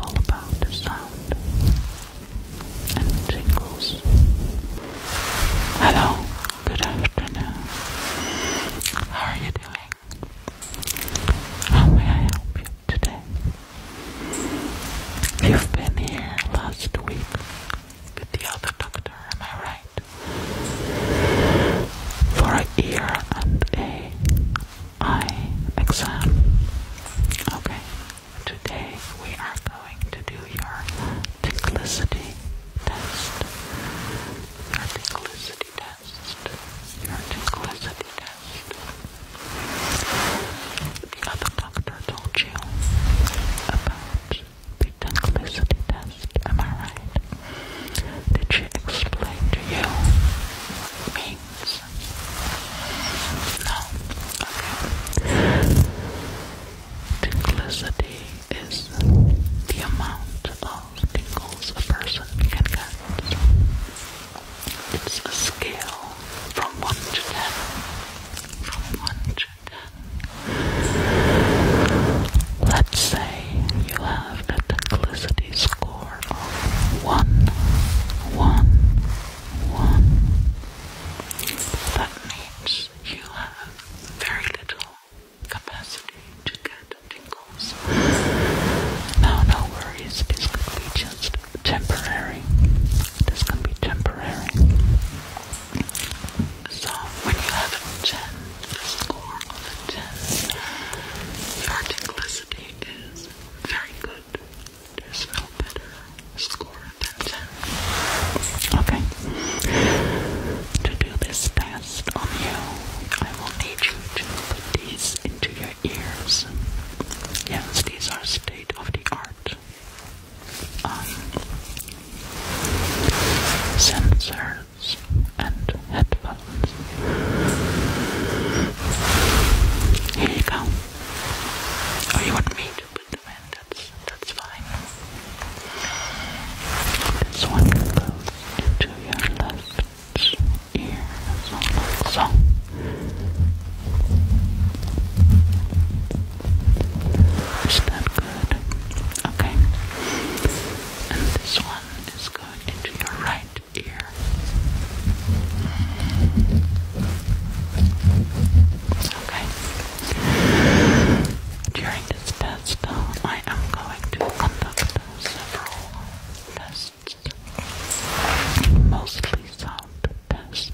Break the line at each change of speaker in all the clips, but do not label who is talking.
all about the sound and Hello, good afternoon. How are you doing? How may I help you today? You've been here last week with the other doctor, am I right? For a ear and a I exam. Okay, today we are going to do your ticklicity test. Your ticklicity test. Your ticklicity test. The other doctor told you about the ticklicity test, am I right? Did she explain to you what it means? No. is the amount of tingles a person can get. It's a scale from one to ten. From one to ten. Let's say you have a tinklicity score one, one, one. That means you have very little capacity to get tingles. Now, no worries, this could be just temporary. This can be temporary. So, when you have a 10, a score of a 10, your tinglicity very good. There's no better score than 10. Okay. To do this test on you, I will need you to put these into your ears. Yes, these are state of the art. Um, ears and headphones. Here you go. Oh, you want me to put them in? That's, that's fine. This one goes into your left ear, like so. Is that good? Okay. And this one is going into your right during this test, though, I am going to conduct several tests, mostly sound tests,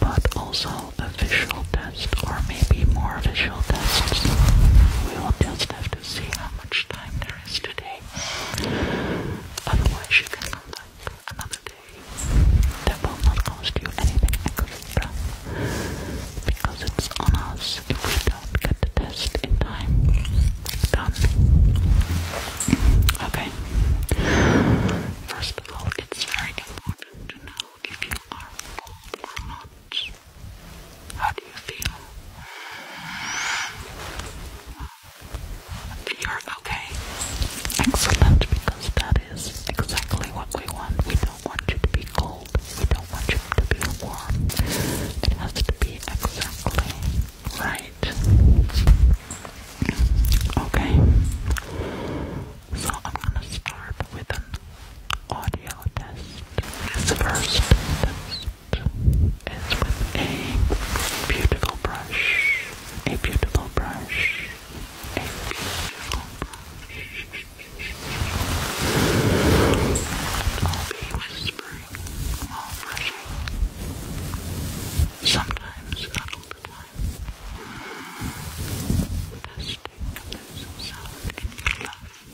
but also a visual test, or maybe more visual tests. We will just have to see much time there is today. Otherwise, you can come back another day. That will not cost you anything extra because it's on us if we don't get the test in time. Okay. First of all, it's very important to know if you are how do you feel? You're okay. Excellent, because that is exactly what we want. We don't want you to be cold. We don't want you to be warm. It has to be exactly right. Okay. So I'm gonna start with audio test. This first test is with a beautiful brush. A beautiful brush. A beautiful brush. I'll be whispering while brushing. Sometimes not all the time. Testing if there's some sound in your life.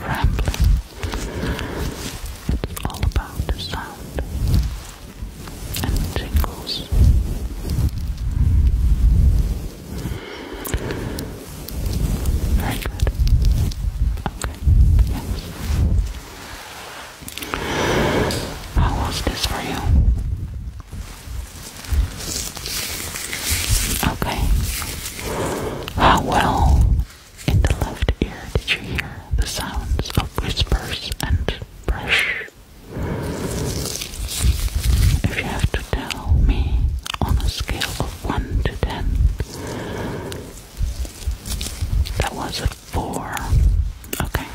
rambling. It's all about the sound and jingles. Very good. Okay. How was this for you? Okay. How well in the left ear did you hear the sounds of whispers and brush? If you have to tell me on a scale of 1 to 10, that was a 4. Okay.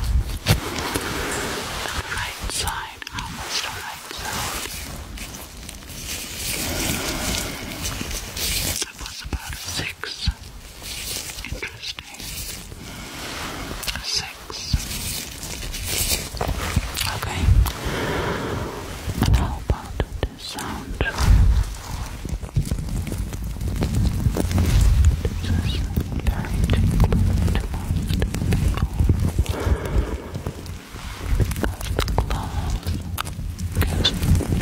right side, how much the right side? That was about a six. Interesting. six. Okay. how about this sound? This is very difficult most people close gives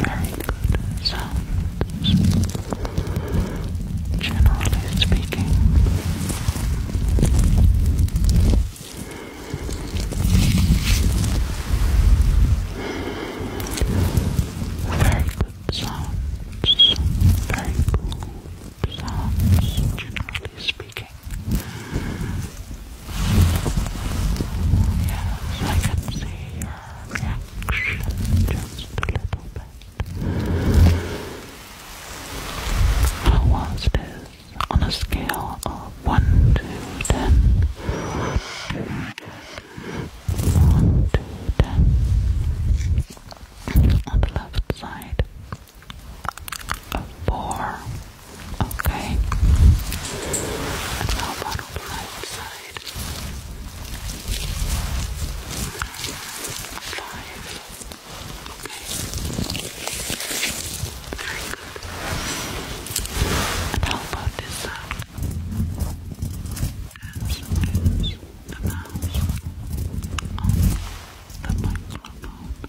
very good sounds, generally speaking. Very good sounds, very cool sounds, generally speaking. Yes, I can see your reaction just a little bit. How was this on a scale of 1 to 10? 1 to 10. On the left side four. Okay. And about the right side? Five. Okay. Very about this side? the mouse the microphone.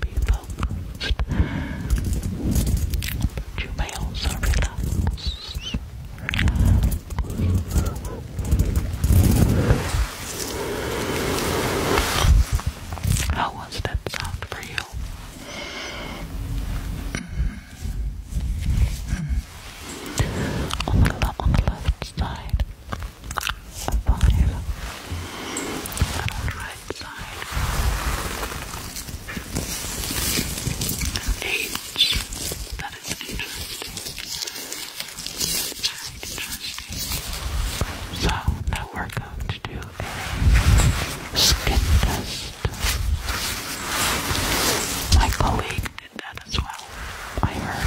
be focused, but you may How was that sound for you? Mm-hmm. Mm-hmm. Mm-hmm. on, the, left side, right side. That is interesting. So now we're going to do a skin test. My colleague did that as well. I heard.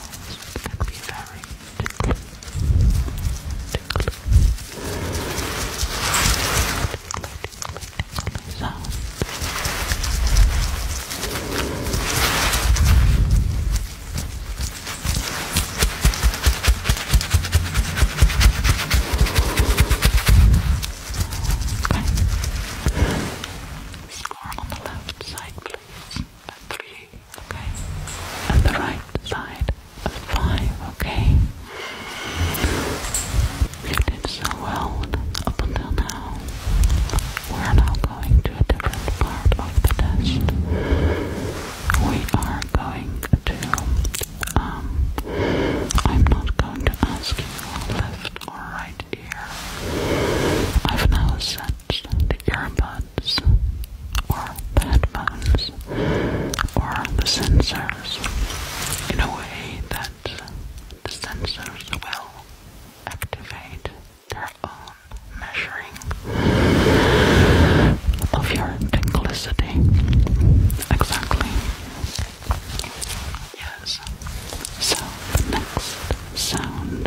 sounds can be very tickly. Score on the left side, please and three, okay? And the right side of five, okay? You did so well up until now. We're now going to a different part of the test. We are going to um, I'm not going to ask you left or right right ear. I've now sensed the earbuds, or the headphones, or the sensors in a way that the sensors will activate their own measuring of your tinglicity. Exactly. Yes. So, next sound.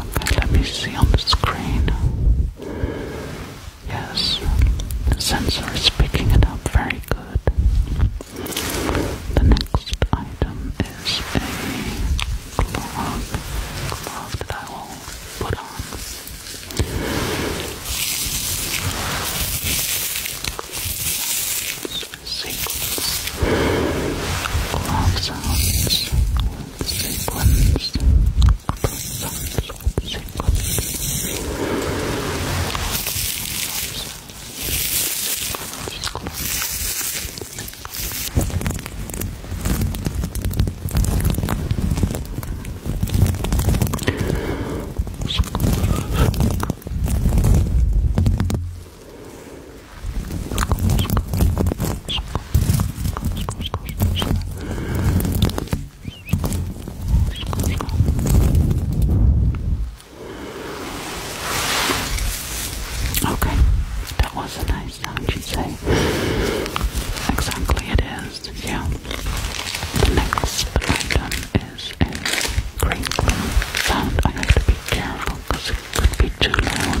Okay, let me see on the screen. Yes, the sensor is picking it up very good. The next item is a glove, glove that I will put on sequence of sounds, sequence of sounds, sequence Okay, that was a nice sound, you say. Exactly, it is. Yeah. The next item is a crinkling sound. I have to be careful because it could be too loud.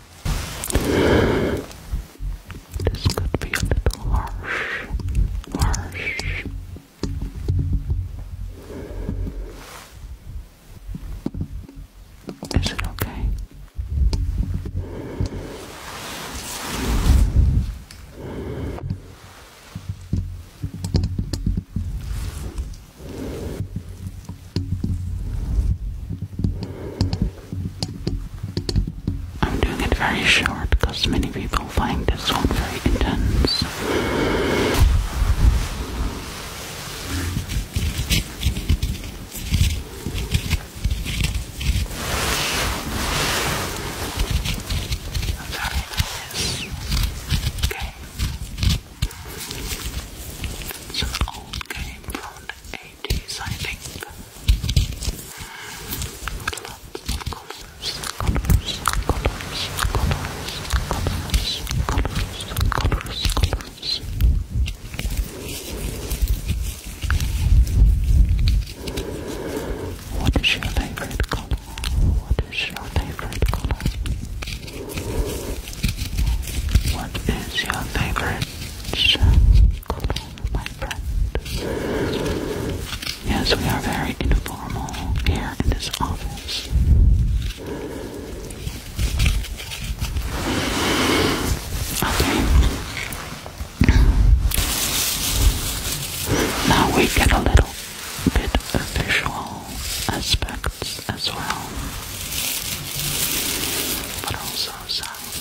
This could be a little harsh, harsh. Is it okay? I'm doing it very short because many people find this one very intense. Okay. It's an old game from the 80s, I think. colors, colors, colors, colors, colors, colors, colors, colors. What is your favorite color? What is your favorite color? What is your favorite color, my friend? Yes, we are very informal here in this office. Okay. Now we get a little bit of aspects as well, but also sounds.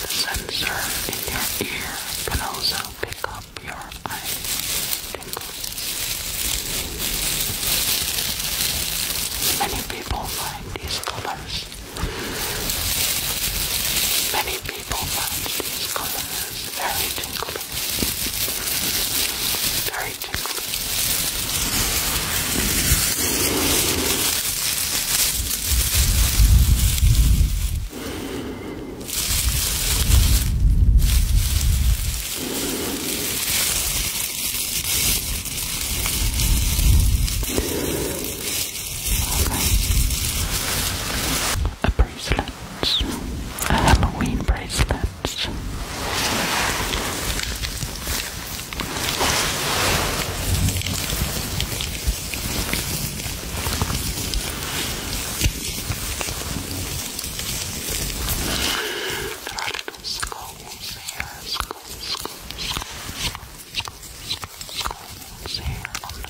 the sensor in your ear can also pick up your eye Many people find these colors. Many people find these colors very tingly. Very tingly. Okay. I bracelets, Halloween bracelets. There are little skulls here, skulls, skulls, skulls, skulls, here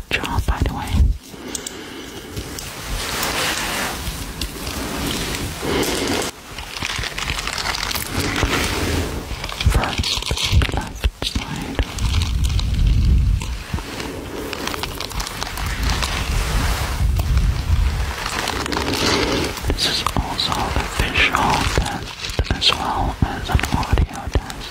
Good job, by the way. First, left side. This is also a visual test as well as an audio test.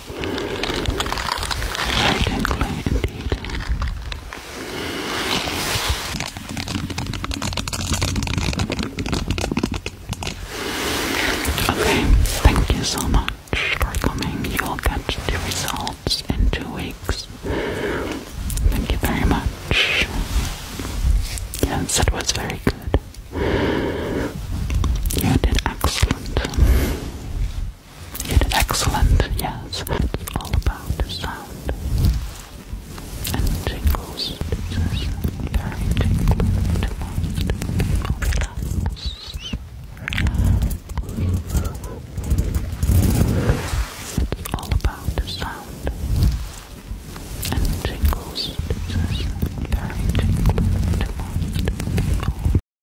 Okay, thank you so much for coming. You will get the results in two weeks. Thank you very much. Yes, it was very good. You did excellent. It's excellent, yes. It's all about the sound and tingles. It's very tingling to most people. Relax. It's all about the sound and tingles. It's very tingling to most people.